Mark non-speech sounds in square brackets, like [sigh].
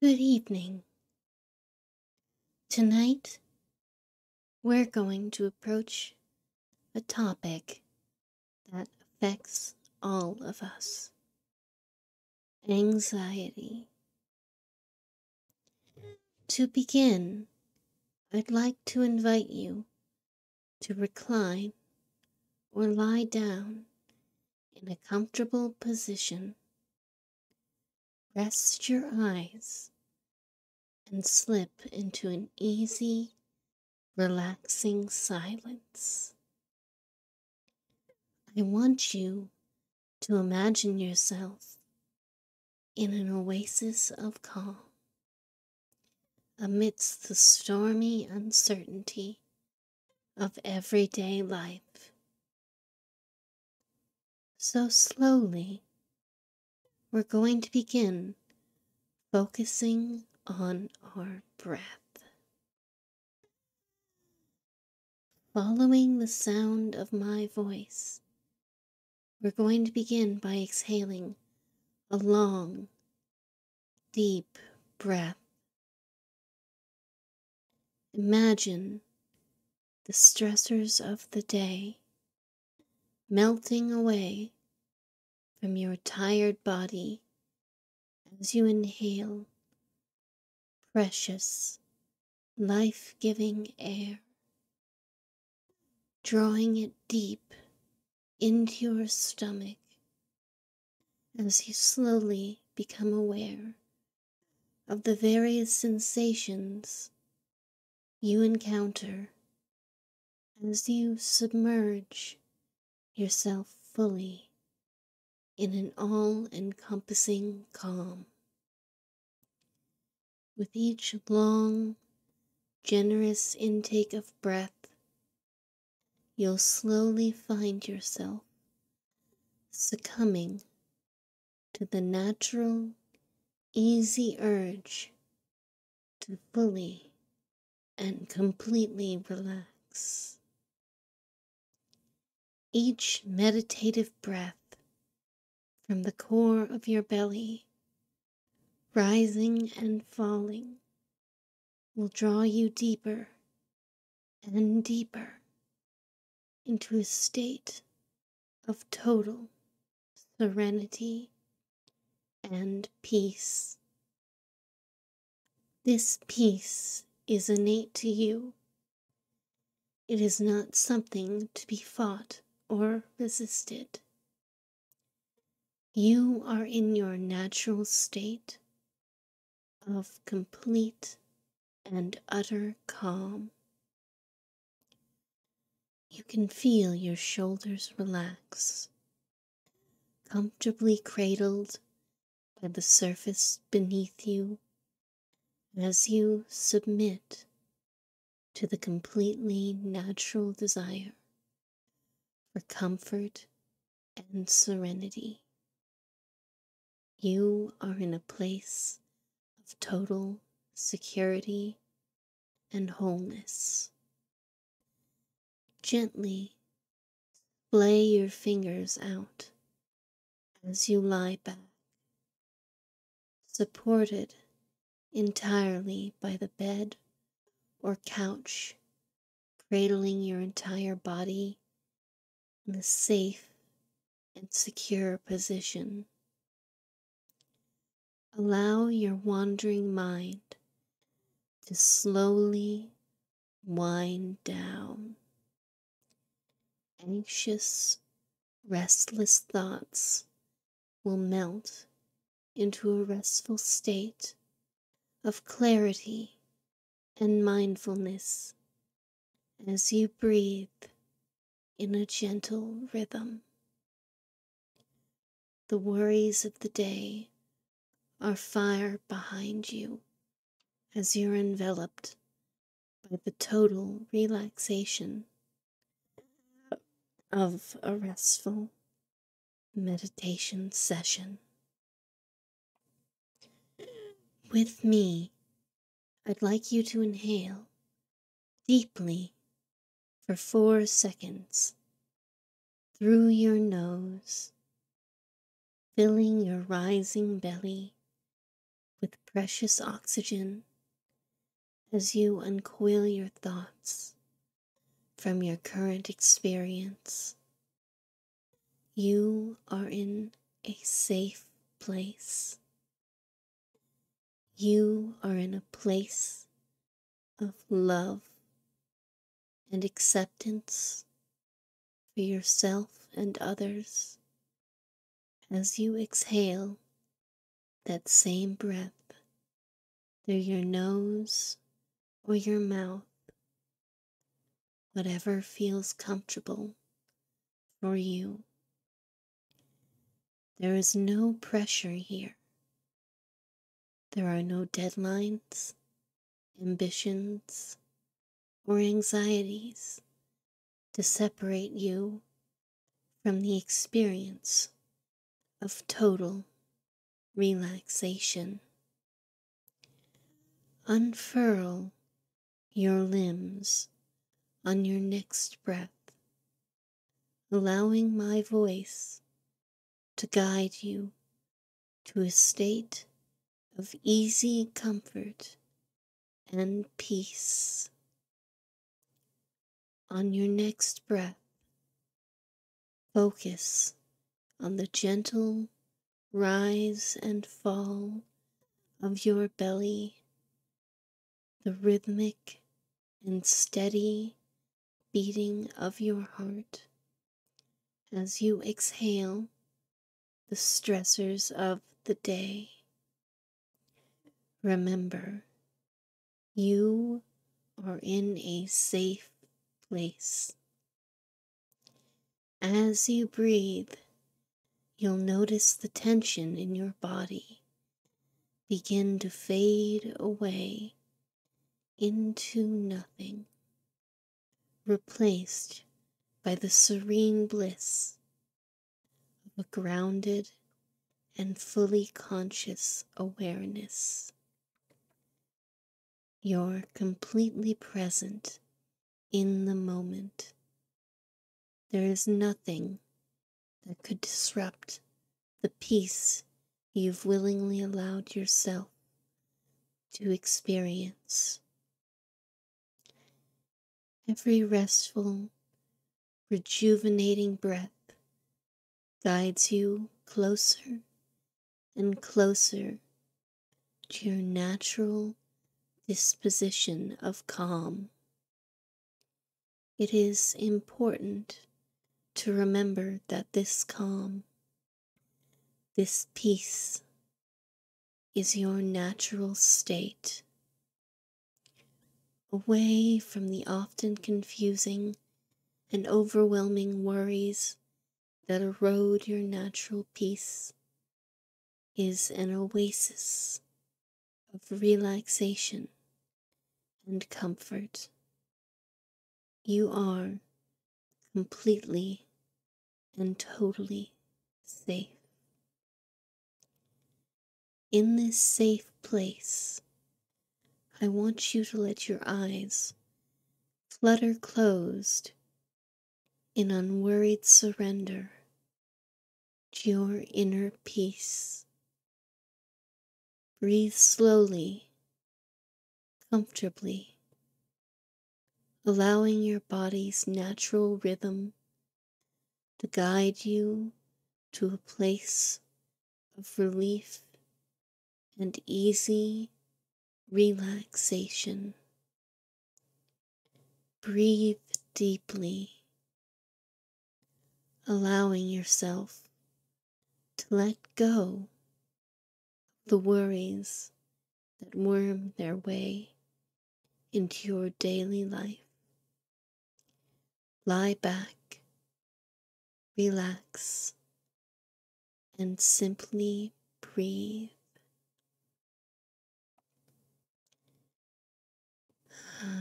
Good evening. Tonight, we're going to approach a topic that affects all of us anxiety. To begin, I'd like to invite you to recline or lie down in a comfortable position. Rest your eyes and slip into an easy, relaxing silence. I want you to imagine yourself in an oasis of calm amidst the stormy uncertainty of everyday life. So, slowly, we're going to begin focusing on our breath. Following the sound of my voice, we're going to begin by exhaling a long, deep breath. Imagine the stressors of the day melting away from your tired body as you inhale precious, life giving air, drawing it deep into your stomach as you slowly become aware of the various sensations you encounter as you submerge yourself fully in an all encompassing calm. With each long generous intake of breath, you'll slowly find yourself succumbing to the natural, easy urge to fully and completely relax. Each meditative breath from the core of your belly rising and falling, will draw you deeper and deeper into a state of total serenity and peace. This peace is innate to you. It is not something to be fought or resisted. You are in your natural state of complete and utter calm. You can feel your shoulders relax, comfortably cradled by the surface beneath you as you submit to the completely natural desire for comfort and serenity. You are in a place of total security and wholeness. Gently lay your fingers out as you lie back supported entirely by the bed or couch, cradling your entire body in a safe and secure position. Allow your wandering mind to slowly wind down. Anxious restless thoughts will melt into a restful state of clarity and mindfulness as you breathe in a gentle rhythm. The worries of the day are far behind you as you're enveloped by the total relaxation of a restful meditation session. With me, I'd like you to inhale deeply for four seconds through your nose, filling your rising belly with precious oxygen as you uncoil your thoughts from your current experience. You are in a safe place. You are in a place of love and acceptance for yourself and others as you exhale that same breath through your nose or your mouth, whatever feels comfortable for you. There is no pressure here. There are no deadlines, ambitions, or anxieties to separate you from the experience of total relaxation. Unfurl your limbs on your next breath, allowing my voice to guide you to a state of easy comfort and peace. On your next breath, focus on the gentle rise and fall of your belly, the rhythmic and steady beating of your heart as you exhale the stressors of the day. Remember, you are in a safe place. As you breathe, you'll notice the tension in your body begin to fade away into nothing replaced by the serene bliss of a grounded and fully conscious awareness. You're completely present in the moment. There is nothing that could disrupt the peace you've willingly allowed yourself to experience. Every restful, rejuvenating breath guides you closer and closer to your natural disposition of calm. It is important to remember that this calm this peace is your natural state, away from the often confusing and overwhelming worries that erode your natural peace is an oasis of relaxation and comfort. You are completely and totally safe. In this safe place, I want you to let your eyes flutter closed in unworried surrender to your inner peace. Breathe slowly, comfortably, allowing your body's natural rhythm to guide you to a place of relief and easy relaxation. Breathe deeply, allowing yourself to let go the worries that worm their way into your daily life. Lie back, relax, and simply breathe. [sighs]